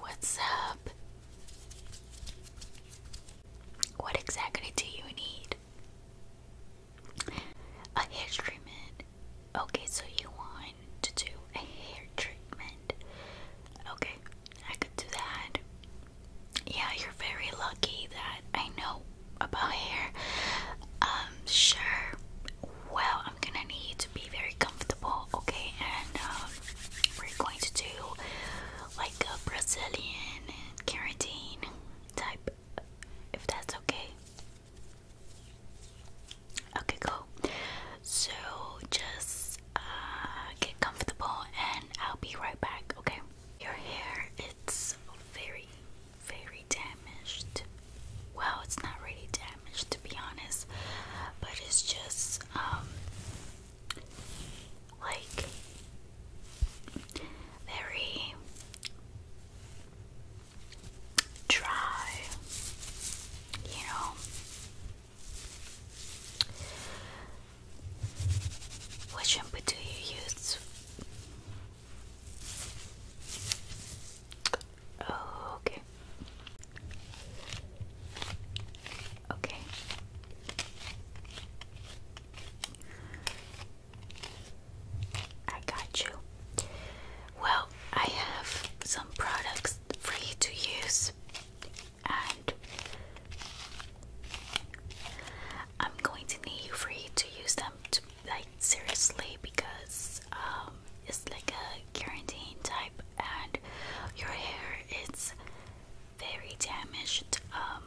What's up? What exactly do you need? A hair treatment. Okay, so you want to do a hair treatment. Okay, I could do that. Yeah, you're very lucky that I know about hair. Um, sure. Well, I'm gonna need you to be very comfortable, okay? And um, we're going to do like a Brazilian carotene type, if that's okay. Okay, cool. So just uh, get comfortable and I'll be right back, okay? Your hair, it's very, very damaged. Well, it's not really damaged to be honest, but it's just um like very dry, you know. What shampoo do you use? Oh, okay. Okay. I got you. Well, I have some products for you to use, and I'm going to need you for you to use them to like seriously because um, it's like a guaranteeing type and your hair is very damaged, um,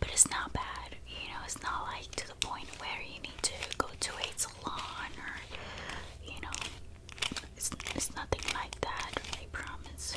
but it's not bad. You know, it's not like to the point where you need to go to a salon or, you know, it's, it's nothing like that. I promise.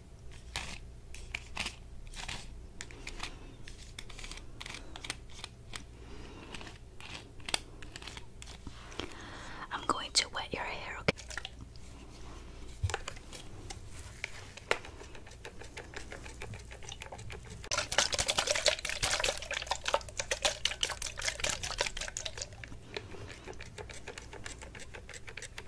I'm going to wet your hair, okay?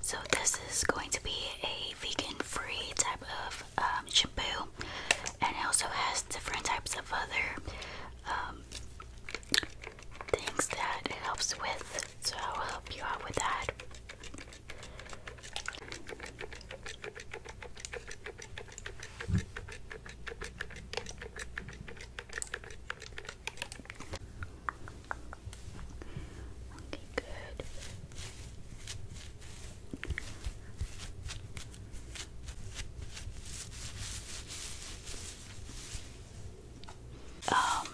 So this is going to be a vegan-free type of um, shampoo, and it also has different types of other um, things that it helps with. So I'll help you out with that. Okay, good. Um,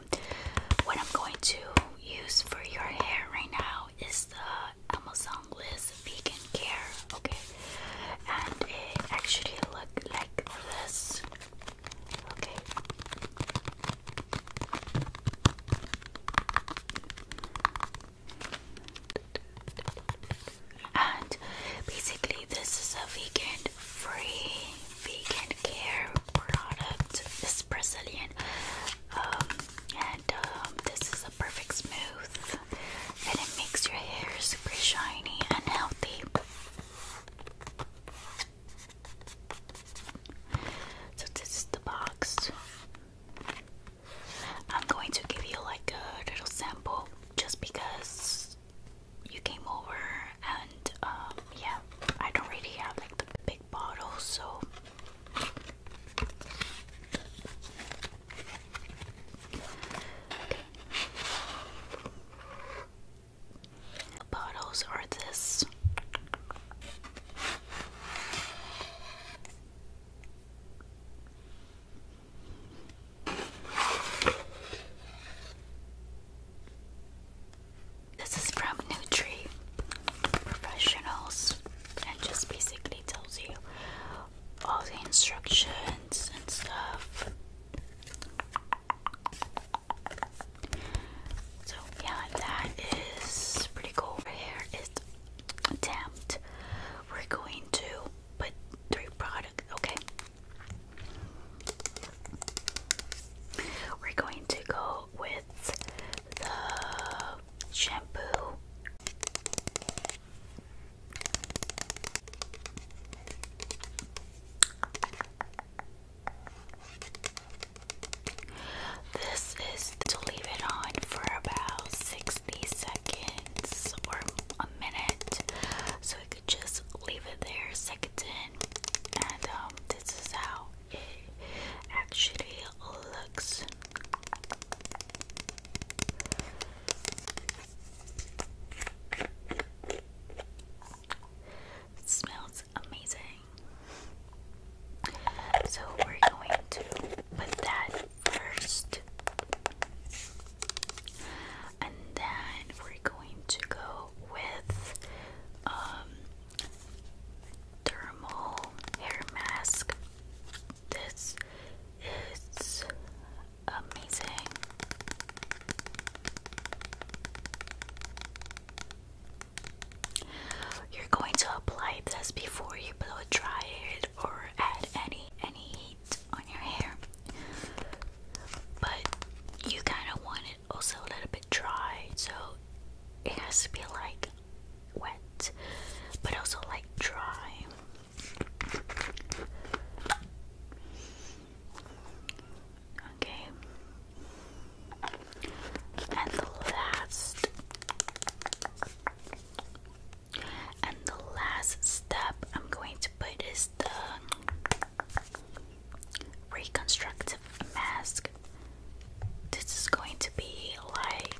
what I'm going to use for your hair right now is the Amazon Bliss Vegan Care. Okay, and it actually look like this. And basically, this is a vegan free vegan care product. This Brazilian, um, and um, this is a perfect smooth, and it makes your hair super shiny and healthy. So this is the box. I'm going to give you like a little sample just because you came over and um, yeah, I don't really have like the big bottle so bottles are this. This is from Nutri Professionals and just basically tells you all the instructions and stuff. So yeah, that is pretty cool. Over here is attempt. We're going to put three product. Okay. We're going to go with the shampoo. This is to leave it on for about 60 seconds or a minute. So I could just leave it there, second in. And um, this is how it actually looks. smells amazing. So we're going to put that first. And then we're going to go with um, thermal hair mask. This is amazing. You're going to apply this before you blow dry it or add any any heat on your hair. But you kind of want it also a little bit dry, so it has to be like wet, but also like dry. Okay. And the last and the last step I'm going to put is the reconstructive mask. This is going to be like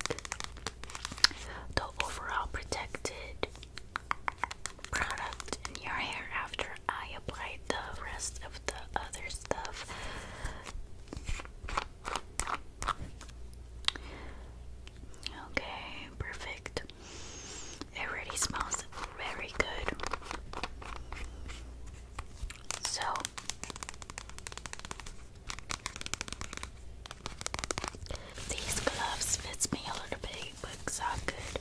the overall protected product in your hair after I apply the rest of the other stuff. Okay, perfect. It really smells very good. So, these gloves fits me a little bit, but it's not good.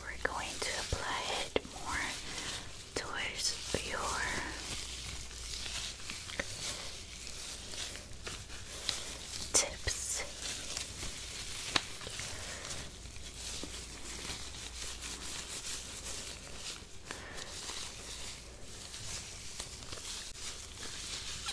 We're going to apply it more towards your tips.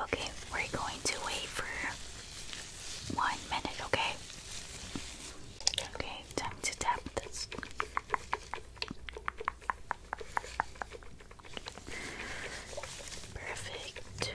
Okay, we're going to wait for one minute, okay? Okay, time to tap this. Perfect.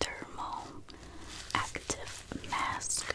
Thermal active mask.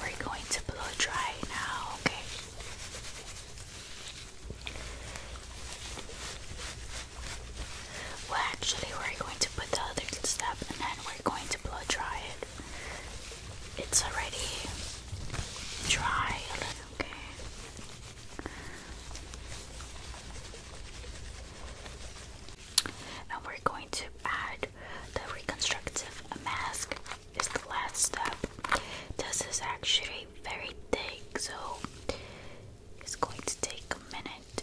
We're going to blow dry now, okay? Well, actually, we're going to put the other step and then we're going to blow dry it. It's already dry, okay? And we're going to add the reconstructive mask, is the last step. This is actually very thick, so it's going to take a minute.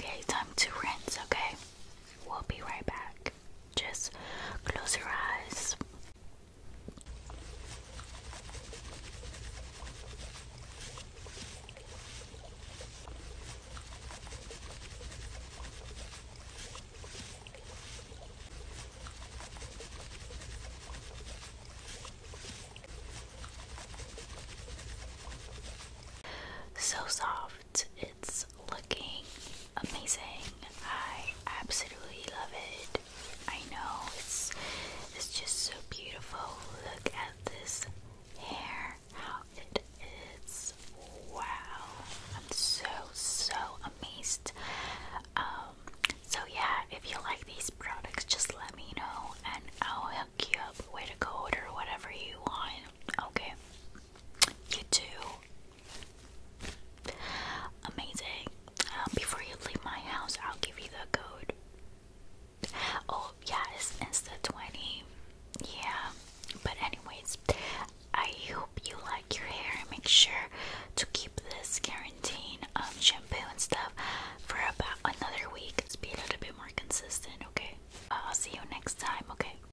Okay, time to rinse, okay? We'll be right back. Just close your eyes. So soft. It's looking amazing. I absolutely love it. I know it's it's just so beautiful. Look at this hair, how it is. Wow. I'm so so amazed. Um so yeah, if you like these products just let me know and I'll hook you up with a code or whatever you want. Okay. You too Amazing. Um, before you leave my house, I'll give you the code. Oh, yeah, it's 20 Yeah, but, anyways, I hope you like your hair and make sure to keep this quarantine um, shampoo and stuff for about another week. be a little bit more consistent, okay? I'll see you next time, okay?